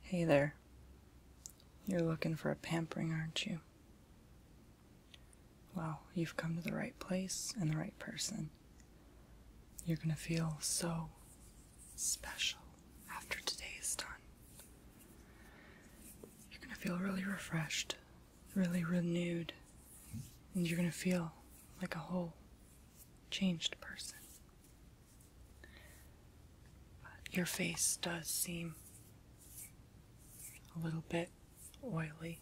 Hey there. You're looking for a pampering, aren't you? Well, you've come to the right place and the right person. You're gonna feel so special after today is done. You're gonna feel really refreshed, really renewed, and you're gonna feel like a whole changed person. But your face does seem a little bit oily.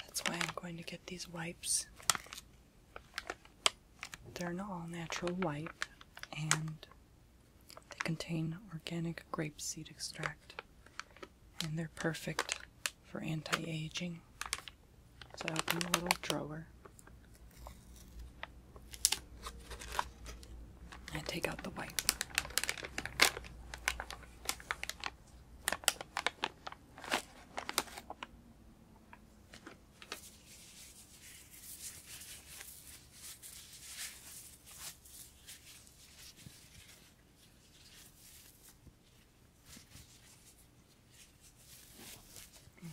That's why I'm going to get these wipes. They're an all natural wipe and they contain organic grapeseed extract and they're perfect for anti-aging. So I open the little drawer and take out the white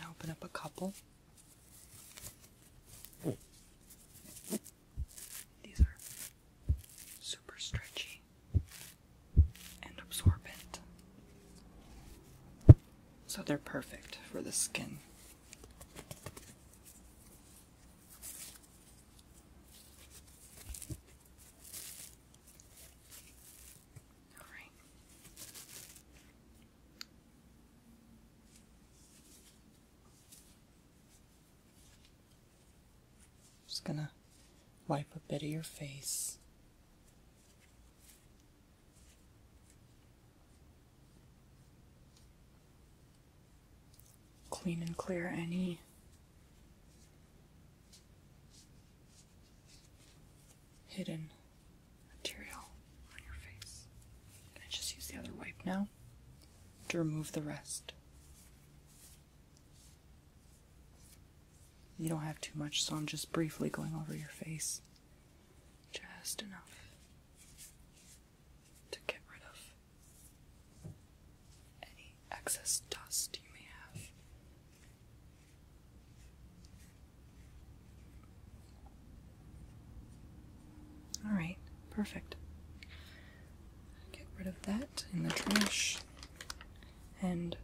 i open up a couple. These are super stretchy and absorbent. So they're perfect for the skin. All right. Just going to wipe a bit of your face clean and clear any hidden material on your face. Can I just use the other wipe now to remove the rest? You don't have too much, so I'm just briefly going over your face. Just enough to get rid of any excess dust you may have. Alright, perfect. Get rid of that in the trash. And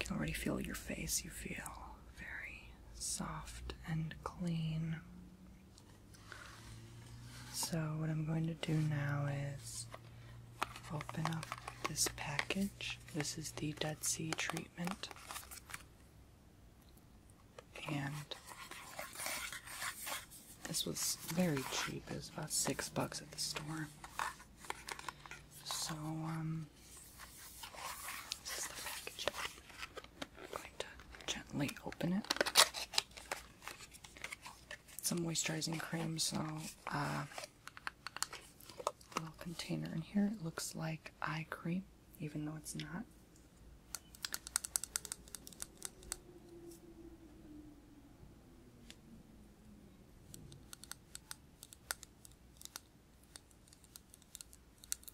you can already feel your face, you feel very soft and clean. So, what I'm going to do now is open up this package. This is the Dead Sea treatment. And this was very cheap. It was about six bucks at the store. So, um, this is the packaging going to gently open it. Some moisturizing cream, so uh, a little container in here. It looks like eye cream, even though it's not.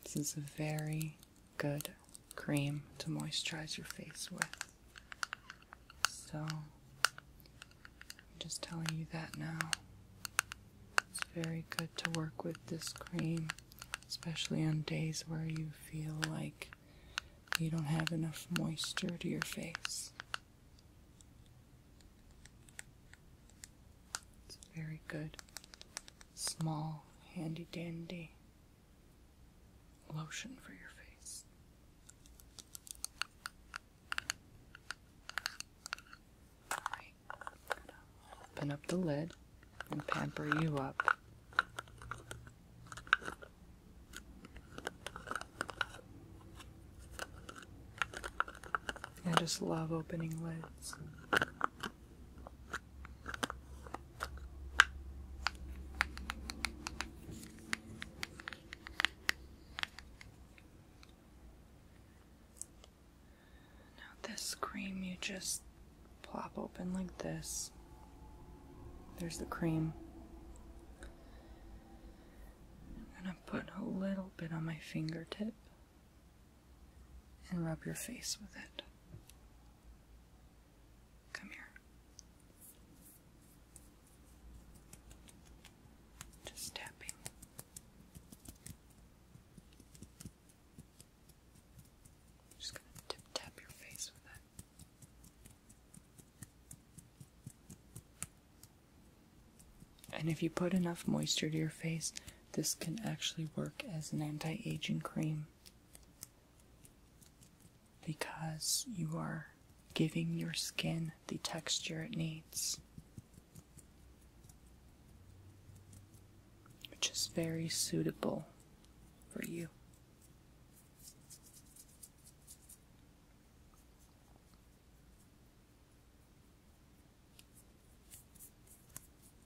This is a very good cream to moisturize your face with. So, I'm just telling you that now. It's very good to work with this cream, especially on days where you feel like you don't have enough moisture to your face. It's very good, small, handy dandy lotion for your face. open up the lid and pamper you up. I just love opening lids. Now, this cream you just plop open like this. There's the cream. I'm gonna put a little bit on my fingertip and rub your face with it. Come here. Just tapping. Just gonna tip tap your face with it. And if you put enough moisture to your face, this can actually work as an anti aging cream because you are giving your skin the texture it needs, which is very suitable for you.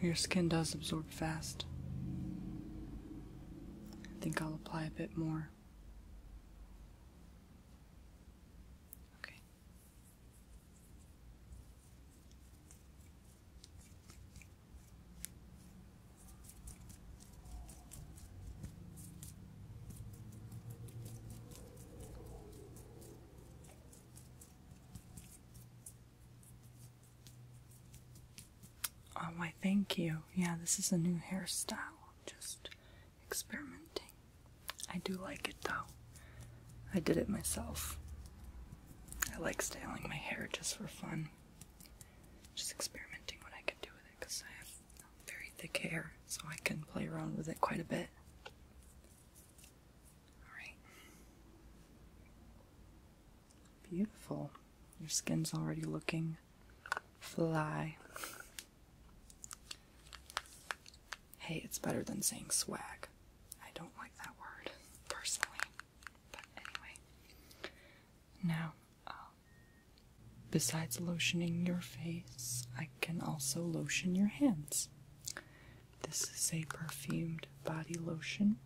Your skin does absorb fast. I think I'll apply a bit more. Okay. Oh, I thank you. Yeah, this is a new hairstyle. Just experimenting. I do like it though. I did it myself. I like styling my hair just for fun. Just experimenting what I can do with it because I have very thick hair, so I can play around with it quite a bit. Alright. Beautiful. Your skin's already looking fly. Hey, it's better than saying swag. I don't like that word personally. But anyway. Now, um, besides lotioning your face, I can also lotion your hands. This is a perfumed body lotion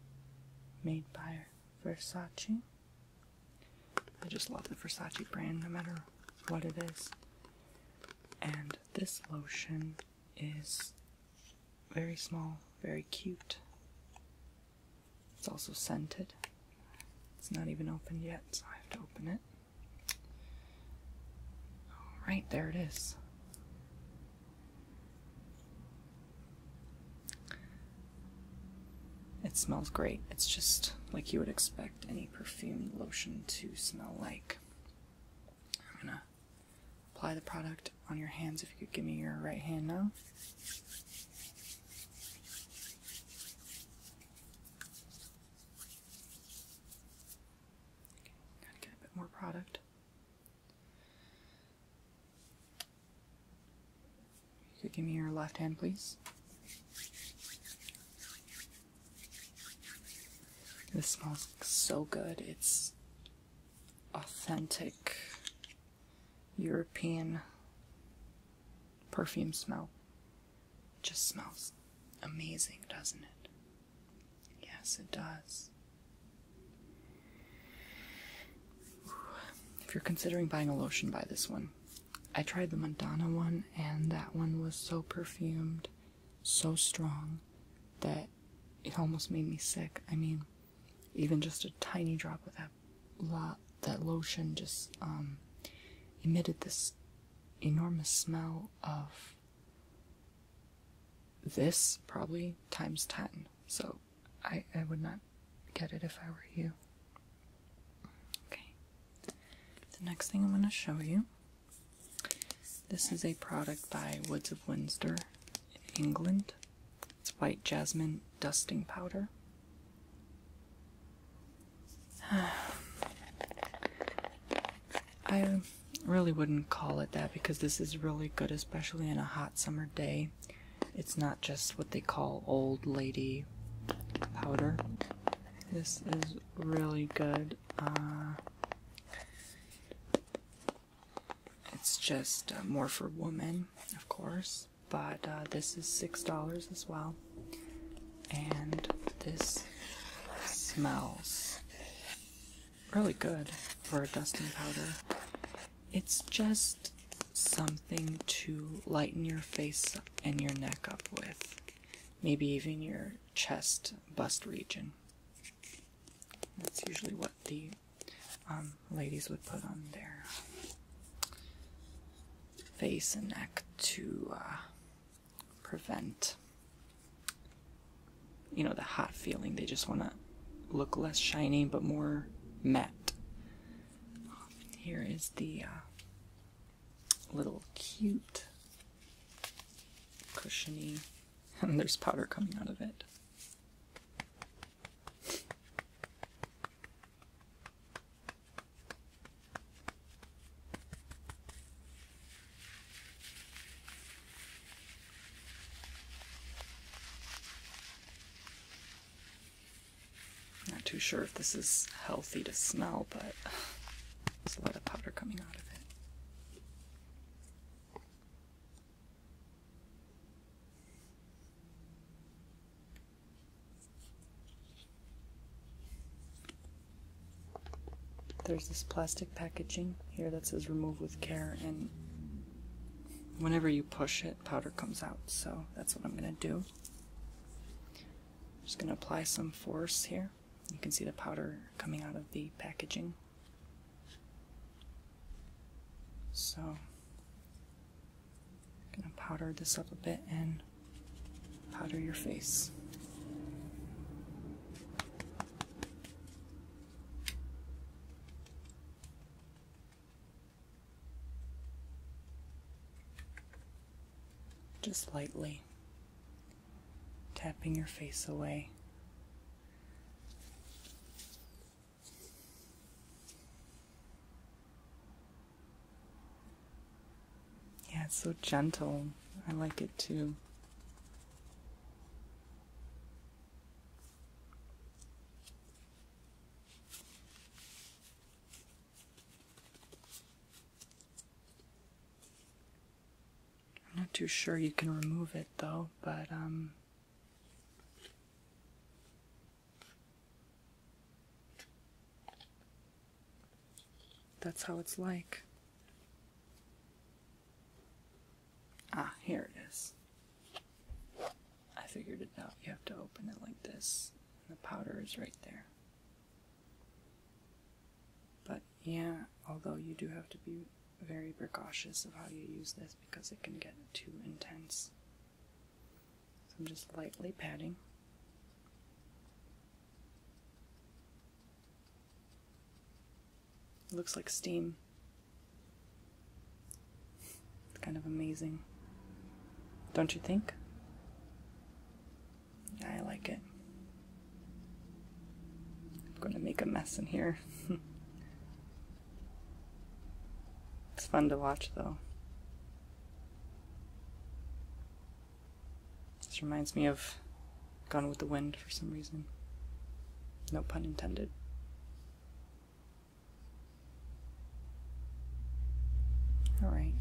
made by Versace. I just love the Versace brand no matter what it is. And this lotion is very small, very cute. It's also scented. It's not even opened yet, so I have to open it. Alright, there it is. It smells great. It's just like you would expect any perfumed lotion to smell like. I'm gonna apply the product on your hands if you could give me your right hand now. gotta get a bit more product. You could give me your left hand, please. This smells so good. It's authentic European perfume smell. It just smells amazing, doesn't it? Yes, it does. If you're considering buying a lotion, buy this one. I tried the Madonna one, and that one was so perfumed, so strong, that it almost made me sick. I mean, even just a tiny drop of that lot that lotion just um, emitted this enormous smell of this probably times 10. So I, would not get it if I were you. Okay. The next thing I'm going to show you. This is a product by Woods of Windsor in England. It's white jasmine dusting powder. I really wouldn't call it that because this is really good, especially in a hot summer day. It's not just what they call old lady powder. This is really good. Uh, it's just uh, more for women, of course, but uh, this is $6 as well. And this smells really good for a dusting powder. It's just something to lighten your face and your neck up with, maybe even your chest bust region. That's usually what the um, ladies would put on their face and neck to uh, prevent you know the hot feeling they just want to look less shiny but more matte here is the uh, little cute cushiony and there's powder coming out of it not too sure if this is healthy to smell, but there's a lot of powder coming out of it. There's this plastic packaging here that says remove with care, and whenever you push it, powder comes out, so that's what I'm going to do. just going to apply some force here. You can see the powder coming out of the packaging. So, I'm going to powder this up a bit and powder your face. Just lightly tapping your face away. Yeah, it's so gentle. I like it too. I'm not too sure you can remove it though, but um that's how it's like. Ah, here it is. I figured it out. You have to open it like this. And the powder is right there. But yeah, although you do have to be very precautious of how you use this because it can get too intense. So I'm just lightly patting. It looks like steam. It's kind of amazing. Don't you think? I like it. I'm going to make a mess in here. it's fun to watch, though. This reminds me of Gone with the Wind for some reason. No pun intended. All right.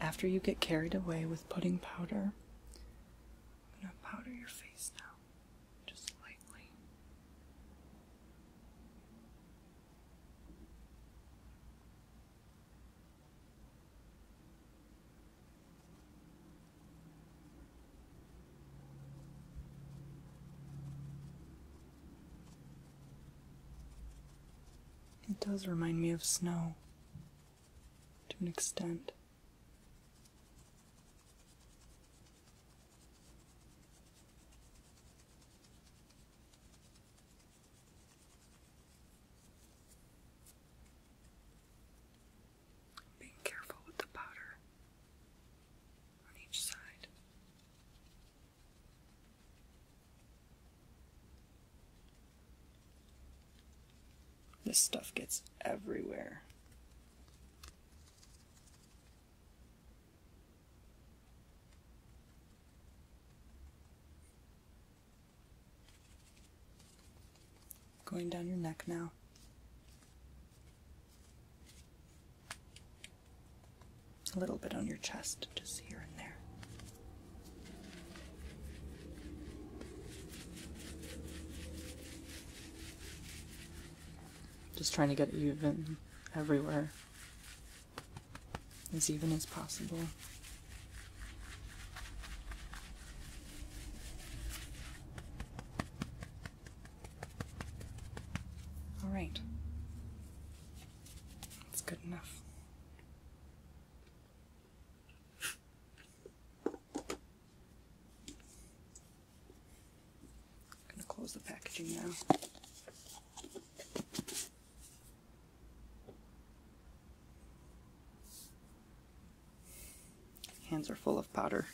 After you get carried away with pudding powder, I'm gonna powder your face now, just lightly. It does remind me of snow to an extent. Being careful with the powder on each side. This stuff gets everywhere. Going down your neck now. A little bit on your chest, just here and there. Just trying to get even everywhere, as even as possible. All right, that's good enough. I'm going to close the packaging now. Hands are full of powder.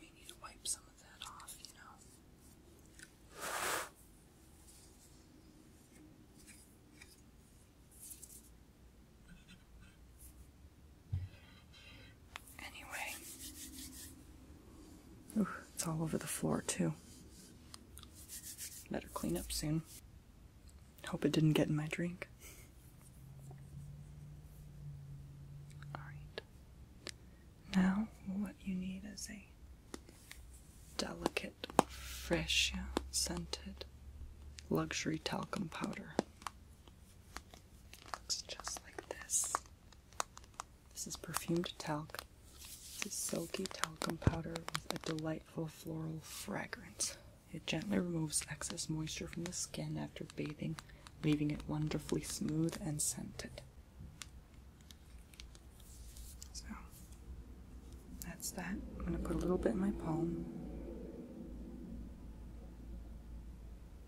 May need to wipe some of that off, you know. Anyway, Ooh, it's all over the floor too. Better clean up soon. Hope it didn't get in my drink. Alright. Now, what you need is a delicate, fresh, scented luxury talcum powder. Looks just like this. This is perfumed talc. This is silky talcum powder with a delightful floral fragrance. It gently removes excess moisture from the skin after bathing, leaving it wonderfully smooth and scented. So, that's that. I'm going to put a little bit in my palm.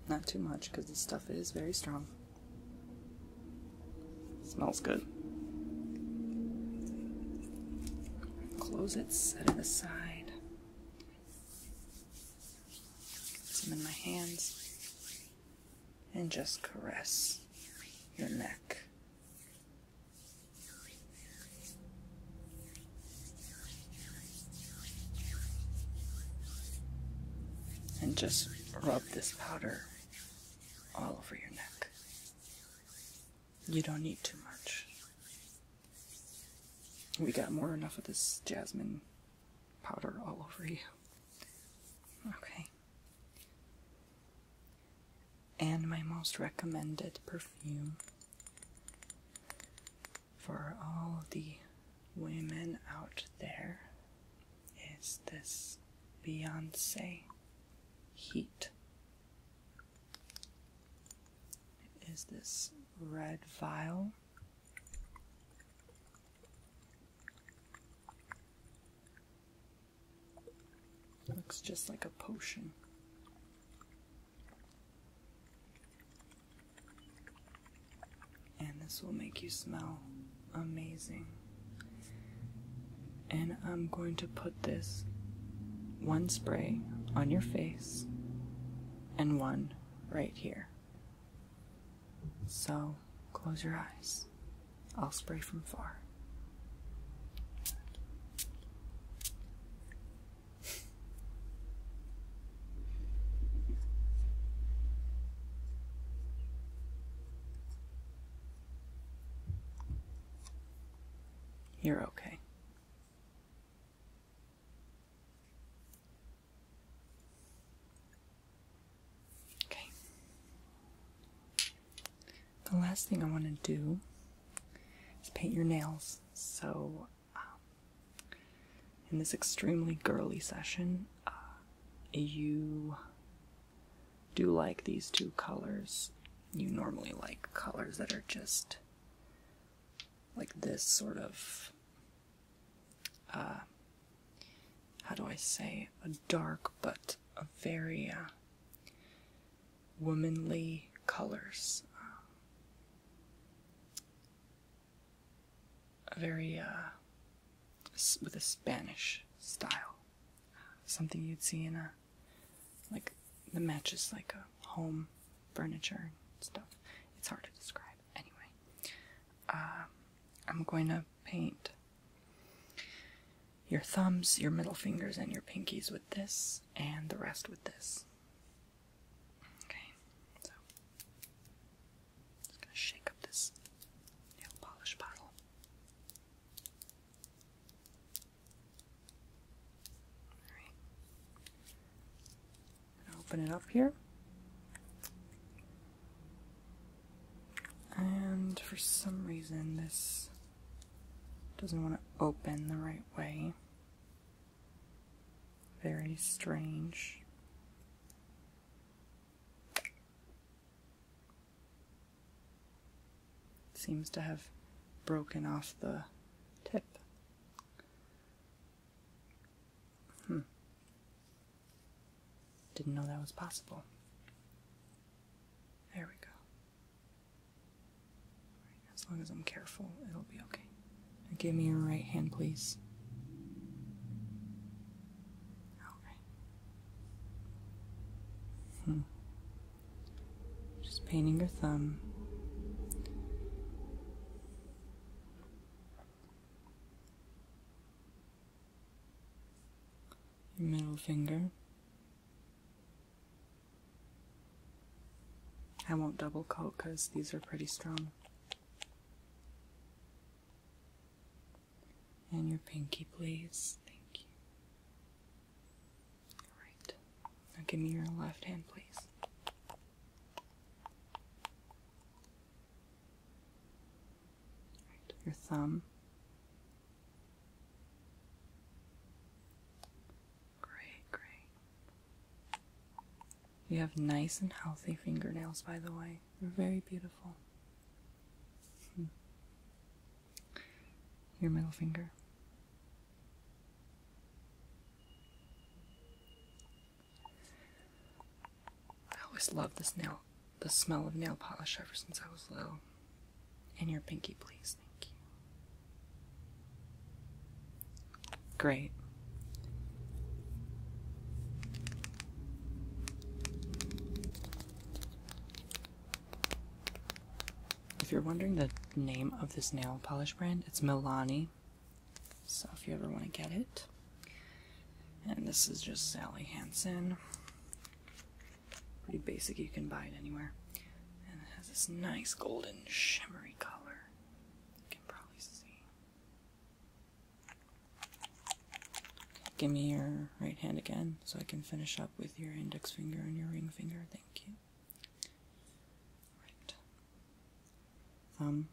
Not too much because this stuff is very strong. Smells good. Close it, set it aside. Get some in my hands. And just caress your neck. And just rub this powder all over your neck. You don't need too much. We got more enough of this jasmine powder all over you. Okay. And my most recommended perfume for all the women out there is this Beyonce heat. Is this red vial. Looks just like a potion. And this will make you smell amazing. And I'm going to put this one spray on your face and one right here. So close your eyes. I'll spray from far. You're okay. Okay. The last thing I want to do is paint your nails. So, um, in this extremely girly session, uh, you do like these two colors. You normally like colors that are just like this sort of. Uh, how do I say? A dark but a very uh, womanly colors. very, uh, with a Spanish style. Something you'd see in a, like, the matches like a home furniture and stuff. It's hard to describe. Anyway, um, I'm going to paint your thumbs, your middle fingers, and your pinkies with this, and the rest with this. Okay, so just gonna shake up this nail polish bottle. open it up here. And for some reason, this doesn't want to open the right way. Very strange. Seems to have broken off the tip. Hmm. Didn't know that was possible. There we go. As long as I'm careful, it'll be okay. give me your right hand, please. Okay. Hmm. Just painting your thumb. Your middle finger. I won't double coat because these are pretty strong. And your pinky, please. Thank you. Alright. Now give me your left hand, please. Right. Your thumb. Great, great. You have nice and healthy fingernails, by the way. They're very beautiful. Hmm. Your middle finger. I always loved the smell of nail polish ever since I was little. And your pinky, please. Thank you. Great. If you're wondering the name of this nail polish brand, it's Milani. So if you ever want to get it. And this is just Sally Hansen. Pretty basic, you can buy it anywhere. And it has this nice golden shimmery color. You can probably see. Give me your right hand again so I can finish up with your index finger and your ring finger. Thank you. Right. Thumb.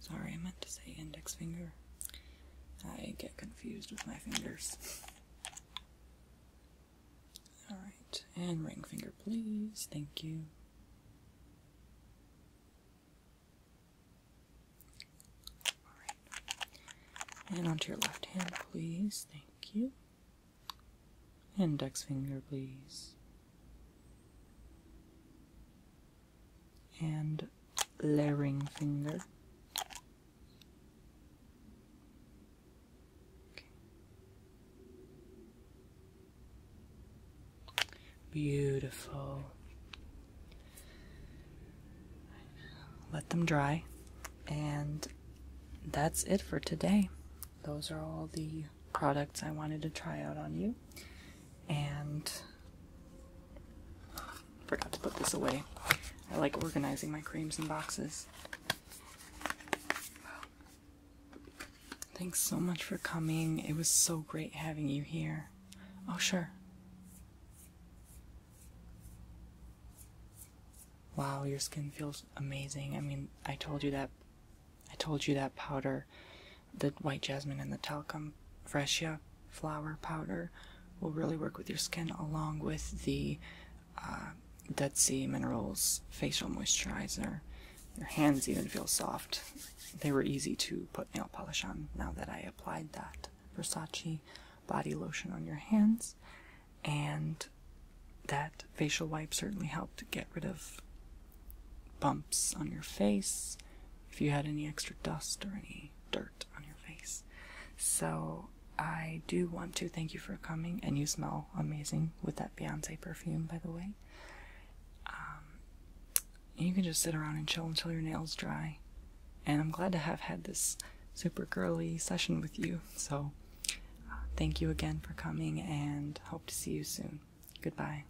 Sorry, I meant to say index finger. I get confused with my fingers. Alright, and ring finger, please. Thank you. Alright. And onto your left hand, please. Thank you. Index finger, please and layering finger. Beautiful. Let them dry, and that's it for today. Those are all the products I wanted to try out on you, and Forgot to put this away. I like organizing my creams in boxes. Thanks so much for coming. It was so great having you here. Oh, sure. Wow, your skin feels amazing. I mean, I told you that I told you that powder the white jasmine and the talcum fresia flower powder will really work with your skin along with the uh, Dead Sea Minerals facial moisturizer. Your hands even feel soft. They were easy to put nail polish on now that I applied that Versace body lotion on your hands. And that facial wipe certainly helped get rid of bumps on your face, if you had any extra dust or any dirt on your face. So I do want to thank you for coming, and you smell amazing with that Beyonce perfume, by the way. Um, you can just sit around and chill until your nails dry. And I'm glad to have had this super girly session with you. So uh, thank you again for coming, and hope to see you soon. Goodbye.